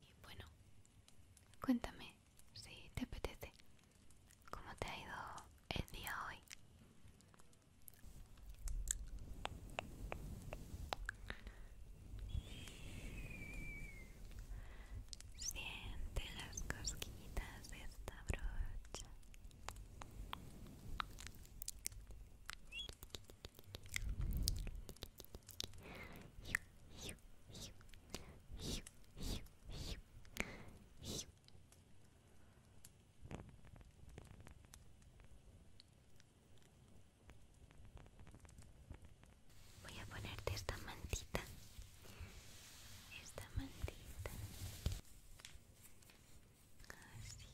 Y bueno, cuéntame si te apetece. ¿Cómo te ha ido el día hoy? Siente las cosquillitas de esta brocha. Voy a ponerte esta mantita. Esta mantita. Así.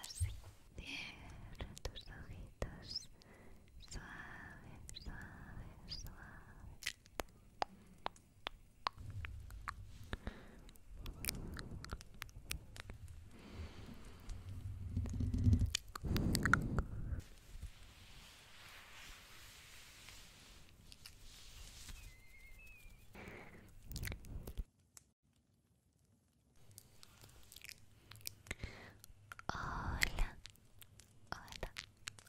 Así cierra tus ojitos. Suave, suave, suave. Hola, hola, hola,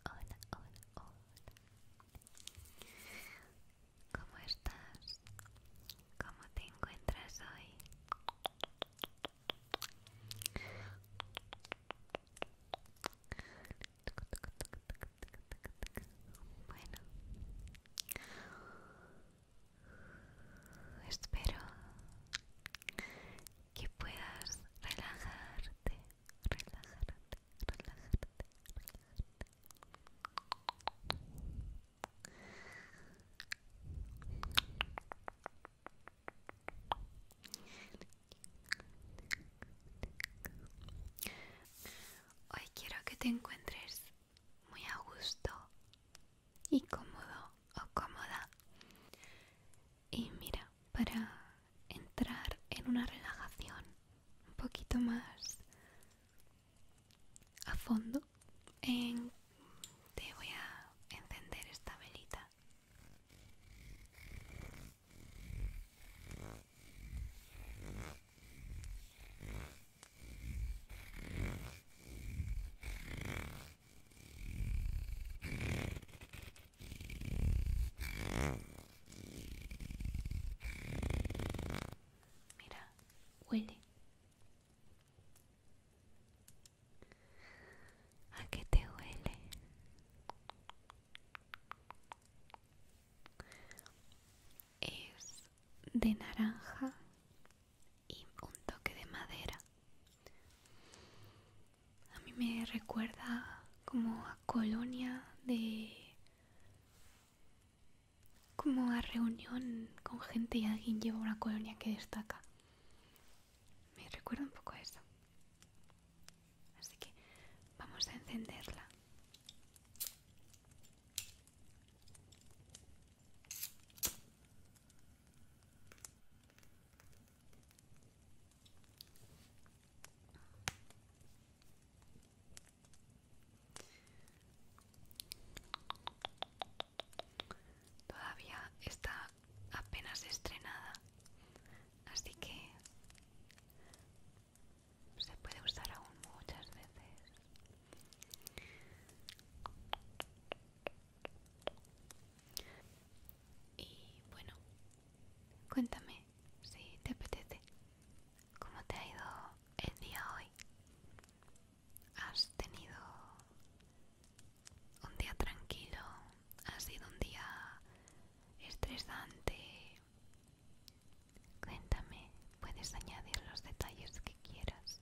hola, hola. ¿Cómo estás? ¿Cómo te encuentras hoy? Bueno, Espero que puedas relajarte, relajarte, relajarte, relajarte. Hoy quiero que te encuentres muy a gusto y cómodo o cómoda. Y mira, para entrar en una relajación un poquito más a fondo, en, te voy a encender esta velita. Mira, huele. ¿A qué te huele? de naranja y un toque de madera. A mí me recuerda como a colonia de... como a reunión con gente y alguien lleva una colonia que destaca. Me recuerda un poco eso. Así que vamos a encenderla Todavía está apenas estrenada, así que se puede usar aún muchas veces y bueno cuéntame si te apetece cómo te ha ido el día hoy has tenido un día tranquilo ha sido un día estresante Cuéntame, puedes añadir los detalles que quieras.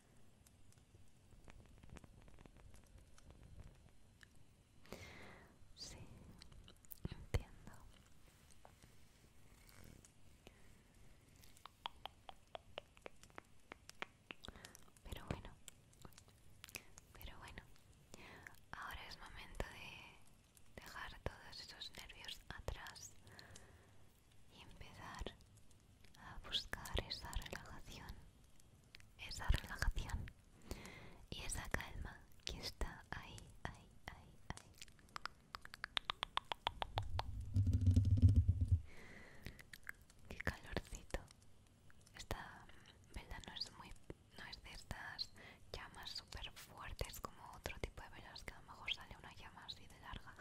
Sí, entiendo. Pero bueno, pero bueno, ahora es momento de dejar todos esos nervios atrás y empezar a buscar esa relajación, esa relajación y esa calma que está ahí, ahí, ahí, ahí. Qué calorcito. Esta vela no es muy no es de estas llamas super fuertes como otro tipo de velas que a lo mejor sale una llama así de larga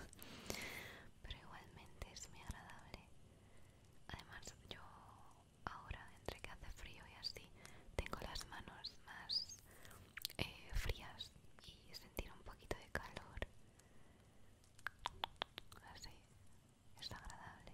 pero igualmente es muy agradable. Además, yo ahora, entre que hace frío y así, tengo las manos más eh, frías y sentir un poquito de calor. Así es agradable.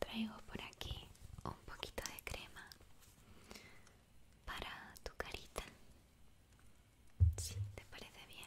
Traigo por aquí un poquito de crema para tu carita. Si te parece bien.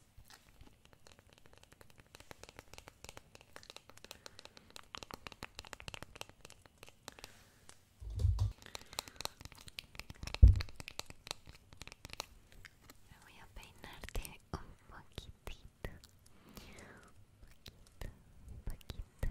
Me voy a peinarte un poquitito, un poquito, un poquito, poquito.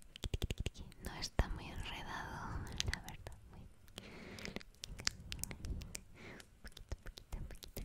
No está muy enredado, la verdad. Muy... Poquito, poquito, poquito.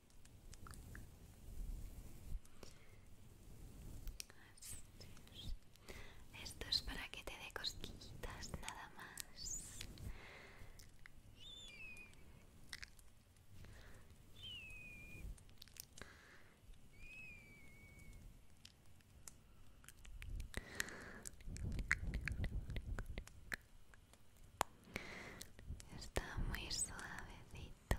Esto es para que te dé cosquillitas nada más. Está muy suavecito,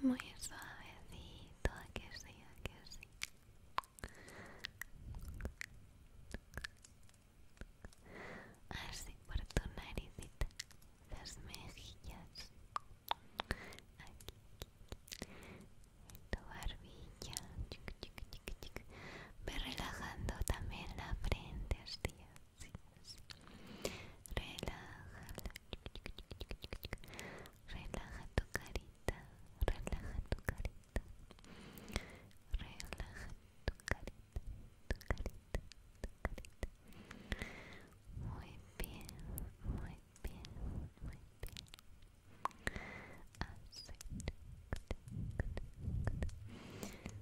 muy suavecito, ¿a que sí, a que sí. Así por tu naricita, las mejillas, aquí, tu barbilla, chica, chica, chica, chica. Ve relajando también la frente así, así, Relájala. Relaja tu carita, relaja tu carita. Relaja tu carita, tu carita, tu carita. Muy bien, muy bien, muy bien. Así.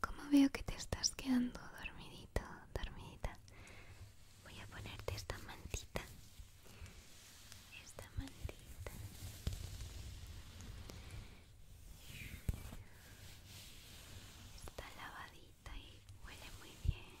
Como veo que te estás quedando dormidito, dormidita, voy a ponerte esta mantita. Esta mantita. Está lavadita y huele muy bien.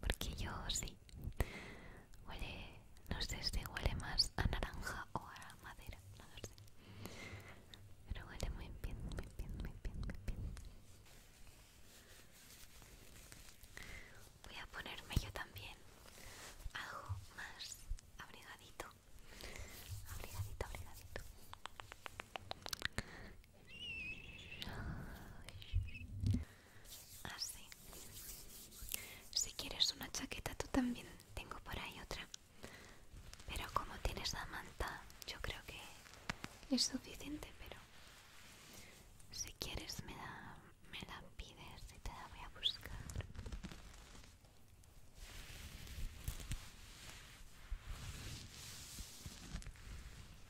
porque yo sí huele no sé si huele más a naranja o a madera no lo sé pero huele muy bien muy bien muy bien muy bien voy a ponerme yo también algo más abrigadito abrigadito abrigadito Así. Ah, si quieres una chaqueta, tú también tengo por ahí otra. Pero como tienes la manta, yo creo que es suficiente, pero si quieres me la, me la pides y te la voy a buscar.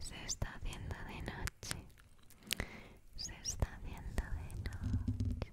Se está haciendo de noche. Se está haciendo de noche.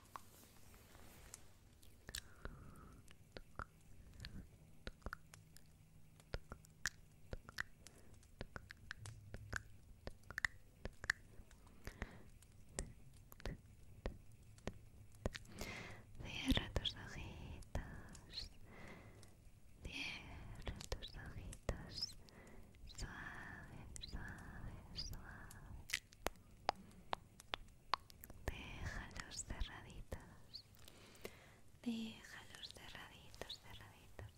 Cierra tus ojitos, cierra tus ojitos, suave, suave, suave. Déjalos cerraditos. Déjalos cerraditos, cerraditos.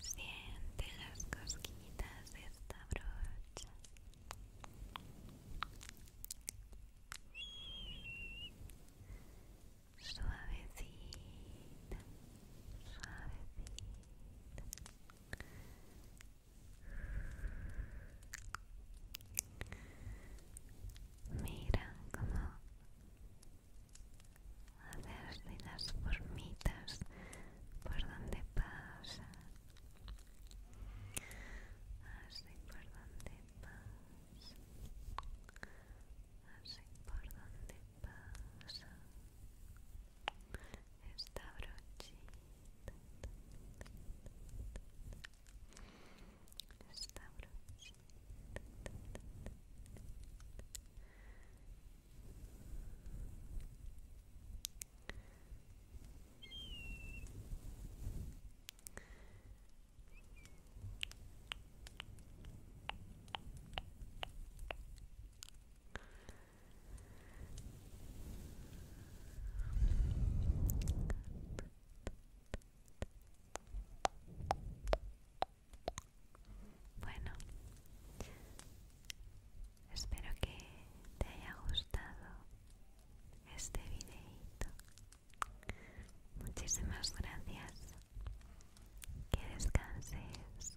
Siente las cosquitas de esta brocha suavecita, suavecita. Mira como cómo hacerse las formitas por donde pasa. Así por donde pasa. Así por donde pasa esta brochita esta brochita bueno, espero que te haya gustado este videito. Muchísimas gracias que descanses.